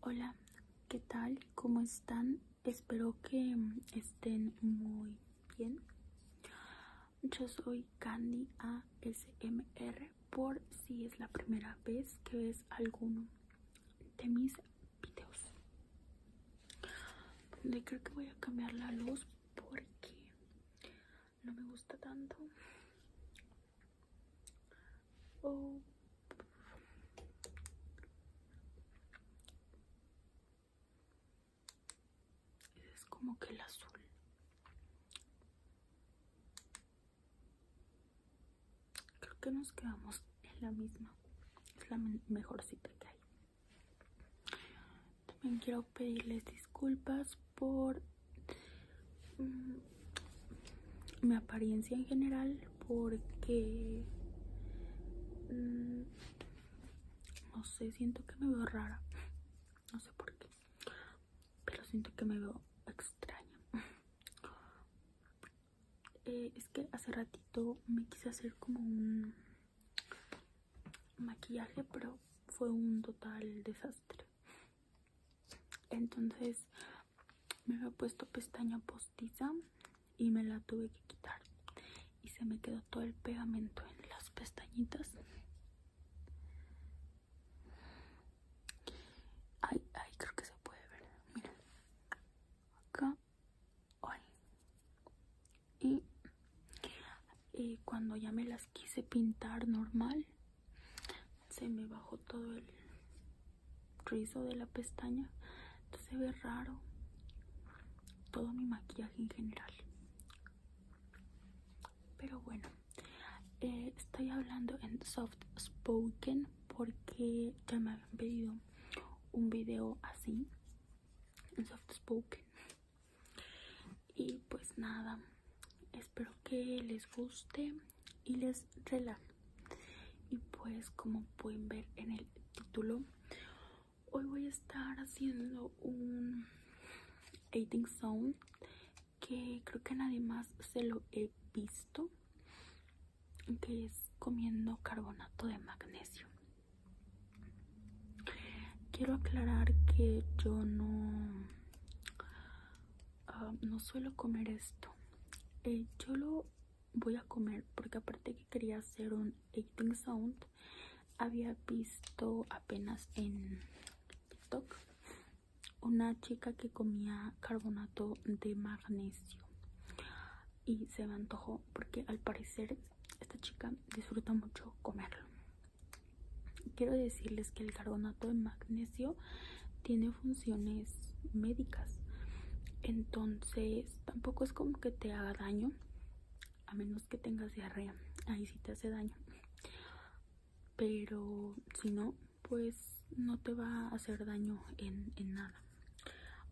Hola, ¿qué tal? ¿Cómo están? Espero que estén muy bien. Yo soy Candy ASMR por si es la primera vez que ves alguno de mis videos. creo que voy a cambiar la luz porque no me gusta tanto es como que el azul creo que nos quedamos en la misma es la mejor cita que hay también quiero pedirles disculpas por mm, mi apariencia en general porque mm, no sé, siento que me veo rara. No sé por qué. Pero siento que me veo extraña. Eh, es que hace ratito me quise hacer como un maquillaje, pero fue un total desastre. Entonces me había puesto pestaña postiza y me la tuve que quitar. Y se me quedó todo el pegamento en las pestañitas. Ay, ay, creo que se puede ver. Acá y cuando ya me las quise pintar normal se me bajó todo el rizo de la pestaña entonces se ve raro todo mi maquillaje en general pero bueno eh, estoy hablando en soft spoken porque ya me habían pedido un video así soft spoken y pues nada espero que les guste y les relaje y pues como pueden ver en el título hoy voy a estar haciendo un editing sound que creo que nadie más se lo he visto que es comiendo carbonato de magnesio. Quiero aclarar que yo no, ah, no suelo comer esto. Eh, yo lo voy a comer porque aparte que quería hacer un eating sound, había visto apenas en TikTok una chica que comía carbonato de magnesio y se me antojó porque al parecer esta chica disfruta mucho comerlo. Quiero decirles que el carbonato de magnesio tiene funciones médicas, entonces tampoco es como que te haga daño, a menos que tengas diarrea, ahí sí te hace daño. Pero si no, pues no te va a hacer daño en, en nada.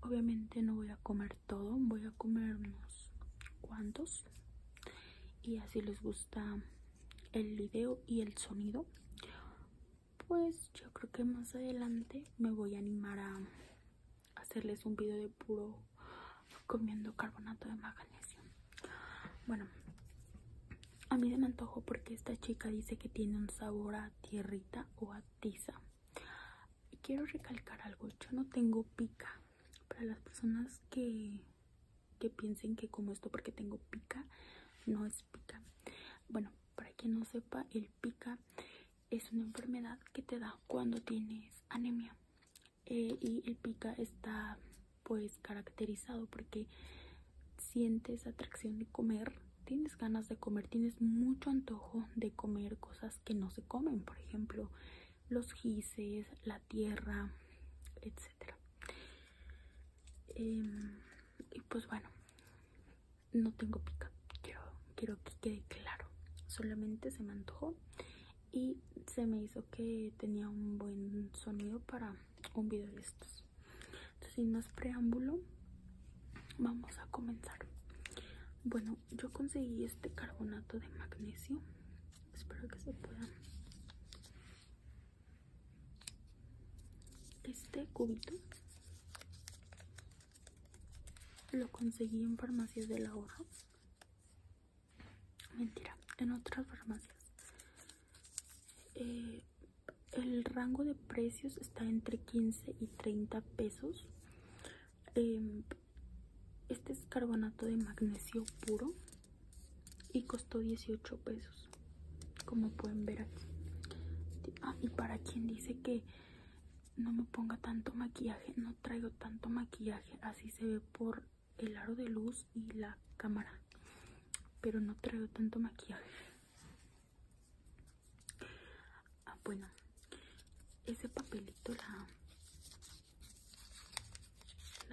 Obviamente no voy a comer todo, voy a comernos cuantos. Y así les gusta el video y el sonido. Pues yo creo que más adelante me voy a animar a hacerles un video de puro comiendo carbonato de magnesio. Bueno, a mí se me antojo porque esta chica dice que tiene un sabor a tierrita o a tiza quiero recalcar algo, yo no tengo pica. Para las personas que, que piensen que como esto porque tengo pica, no es pica. Bueno, para quien no sepa, el pica es una enfermedad que te da cuando tienes anemia. Eh, y el pica está pues caracterizado porque sientes atracción de comer tienes ganas de comer, tienes mucho antojo de comer cosas que no se comen, por ejemplo, los gises, la tierra, etcétera. Em, y pues bueno, no tengo pica, quiero, quiero que quede claro, solamente se me antojó y se me hizo que tenía un buen sonido para un video de estos sin más preámbulo vamos a comenzar bueno yo conseguí este carbonato de magnesio espero que se pueda este cubito lo conseguí en farmacias del ahorro mentira en otras farmacias eh, el, rango de precios está entre 15 y 30 pesos em, este es carbonato de magnesio puro y costó 18 pesos como pueden ver aquí ah, y para quien dice que no me ponga tanto maquillaje no traigo tanto maquillaje así se ve por el aro de luz y la cámara pero no traigo tanto maquillaje Ah, bueno, ese papelito, la,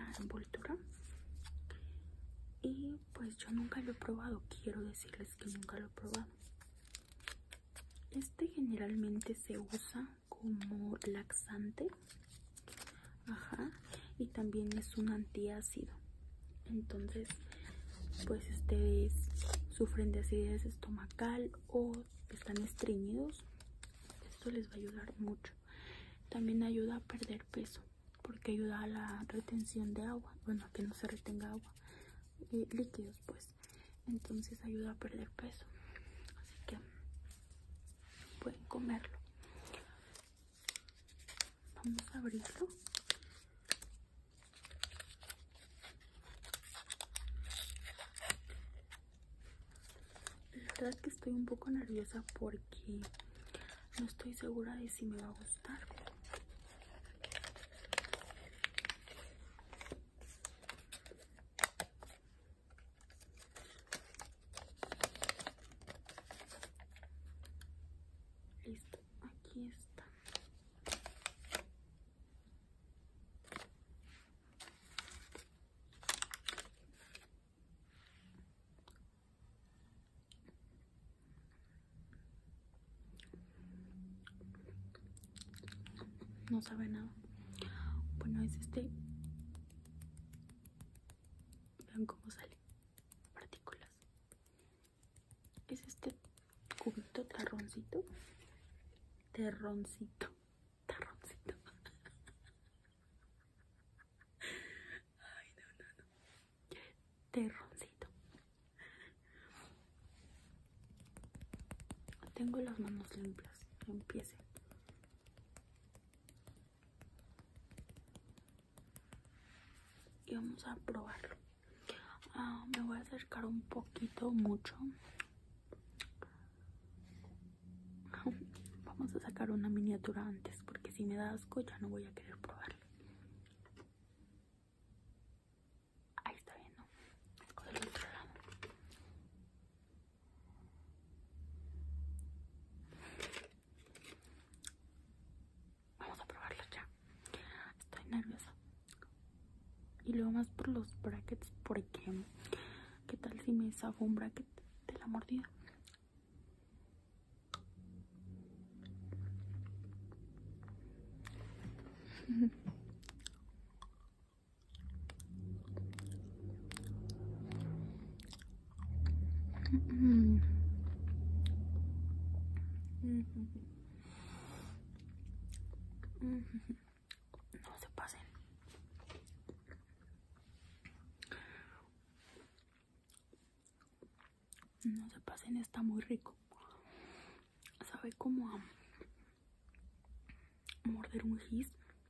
la envoltura. Y pues yo nunca lo he probado, quiero decirles que nunca lo he probado. Este generalmente se usa como laxante. Ajá. Y también es un antiácido entonces pues ustedes sufren de acidez estomacal o están estreñidos esto les va a ayudar mucho también ayuda a perder peso porque ayuda a la retención de agua bueno que no se retenga agua y eh, líquidos pues entonces ayuda a perder peso así que pueden comerlo Vamos a abrirlo. La verdad que estoy un poco nerviosa porque no estoy segura de si me va a gustar. Listo, aquí está. No sabe nada. Bueno, es este. Vean cómo sale. Partículas es este cubito tarroncito terroncito tarroncito ay no no terroncito tengo las manos limpias empiece y vamos a probar ah, me voy a acercar un poquito mucho vamos a sacar una miniatura antes porque si me da asco ya no voy a querer probarlo ahí está bien otro lado Vamos a probarlo ya. Estoy nerviosa. Y luego más por los brackets, porque ¿qué tal si me saco un bracket de la mordida? No se pasen. No se pasen, está muy rico. Sabe como a morder un gis.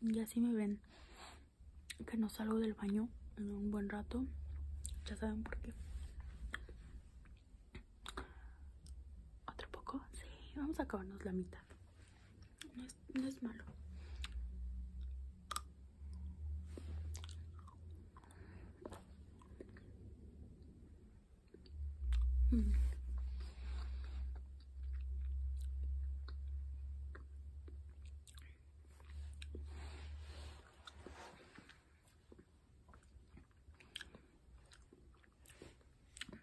Y así me ven que no salgo del baño en un buen rato. Ya saben por qué. ¿Otro poco? Sí, vamos a acabarnos la mitad. No es, no es malo.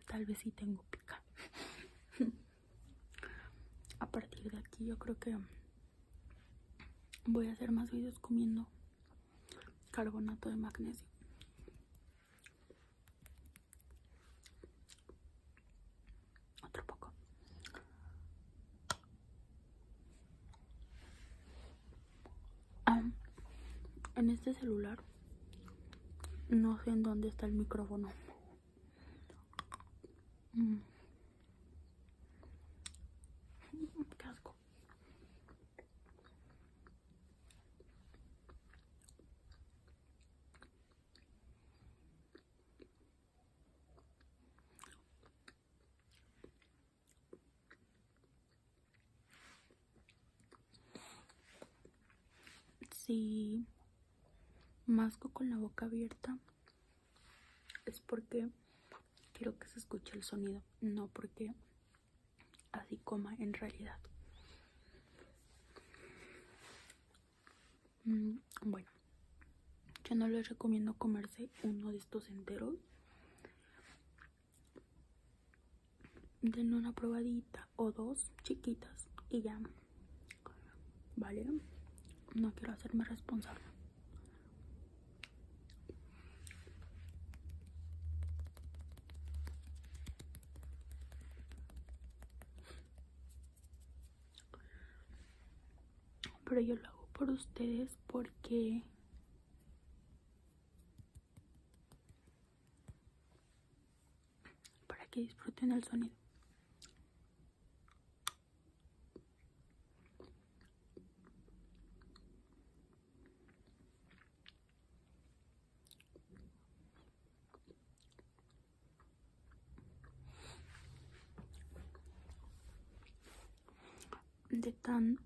Tal vez sí tengo pica. a partir de aquí yo creo que voy a hacer más videos comiendo carbonato de magnesio. Otro poco. Ah, en este celular no sé en dónde está el micrófono. Mm. Si masco con la boca abierta es porque quiero que se escuche el sonido, no porque así coma en realidad mm, bueno yo no les recomiendo comerse uno de estos enteros Den una probadita o dos chiquitas y ya vale no quiero hacerme responsable pero yo lo hago por ustedes porque para que disfruten el sonido de tan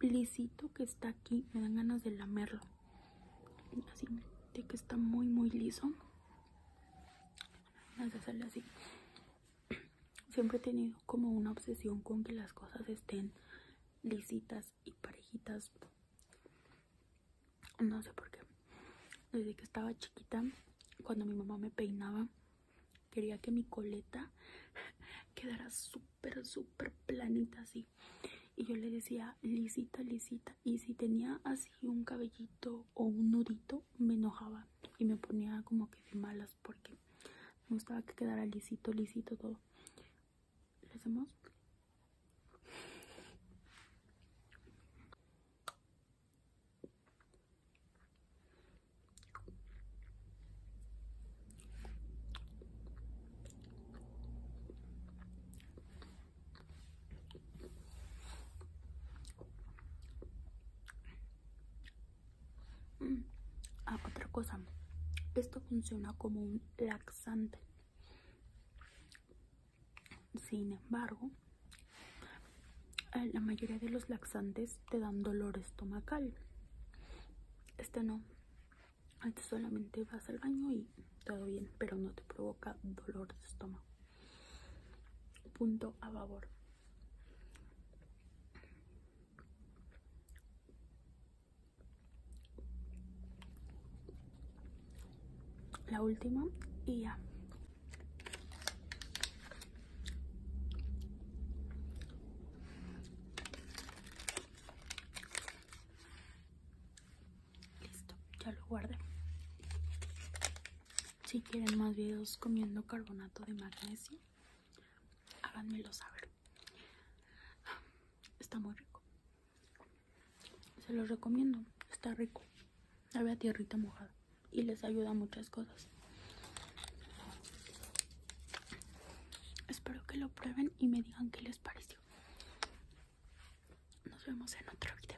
lisito que está aquí me dan ganas de lamerlo así de que está muy muy liso ganas sale así siempre he tenido como una obsesión con que las cosas estén lisitas y parejitas. No sé por qué. Desde que estaba chiquita, cuando mi mamá me peinaba, quería que mi coleta quedara súper, súper planita así. Y yo le decía lisita, lisita. Y si tenía así un cabellito o un nudito, me enojaba y me ponía como que malas porque me gustaba que quedara lisito, lisito todo. ¿Le hacemos? Mm. Ah, otra cosa. Esto funciona como un laxante. Sin embargo, eh, la mayoría de los laxantes te dan dolor estomacal. Este no. Este solamente vas al baño y todo bien, pero no te provoca dolor de estómago. Punto a favor. La última y ya. Listo, ya lo guardé si quieren más videos comiendo carbonato de magnesio háganmelo saber está muy rico se los recomiendo está rico ve a tierrita mojada y les ayuda muchas cosas espero que lo prueben y me digan qué les pareció nos vemos en otro video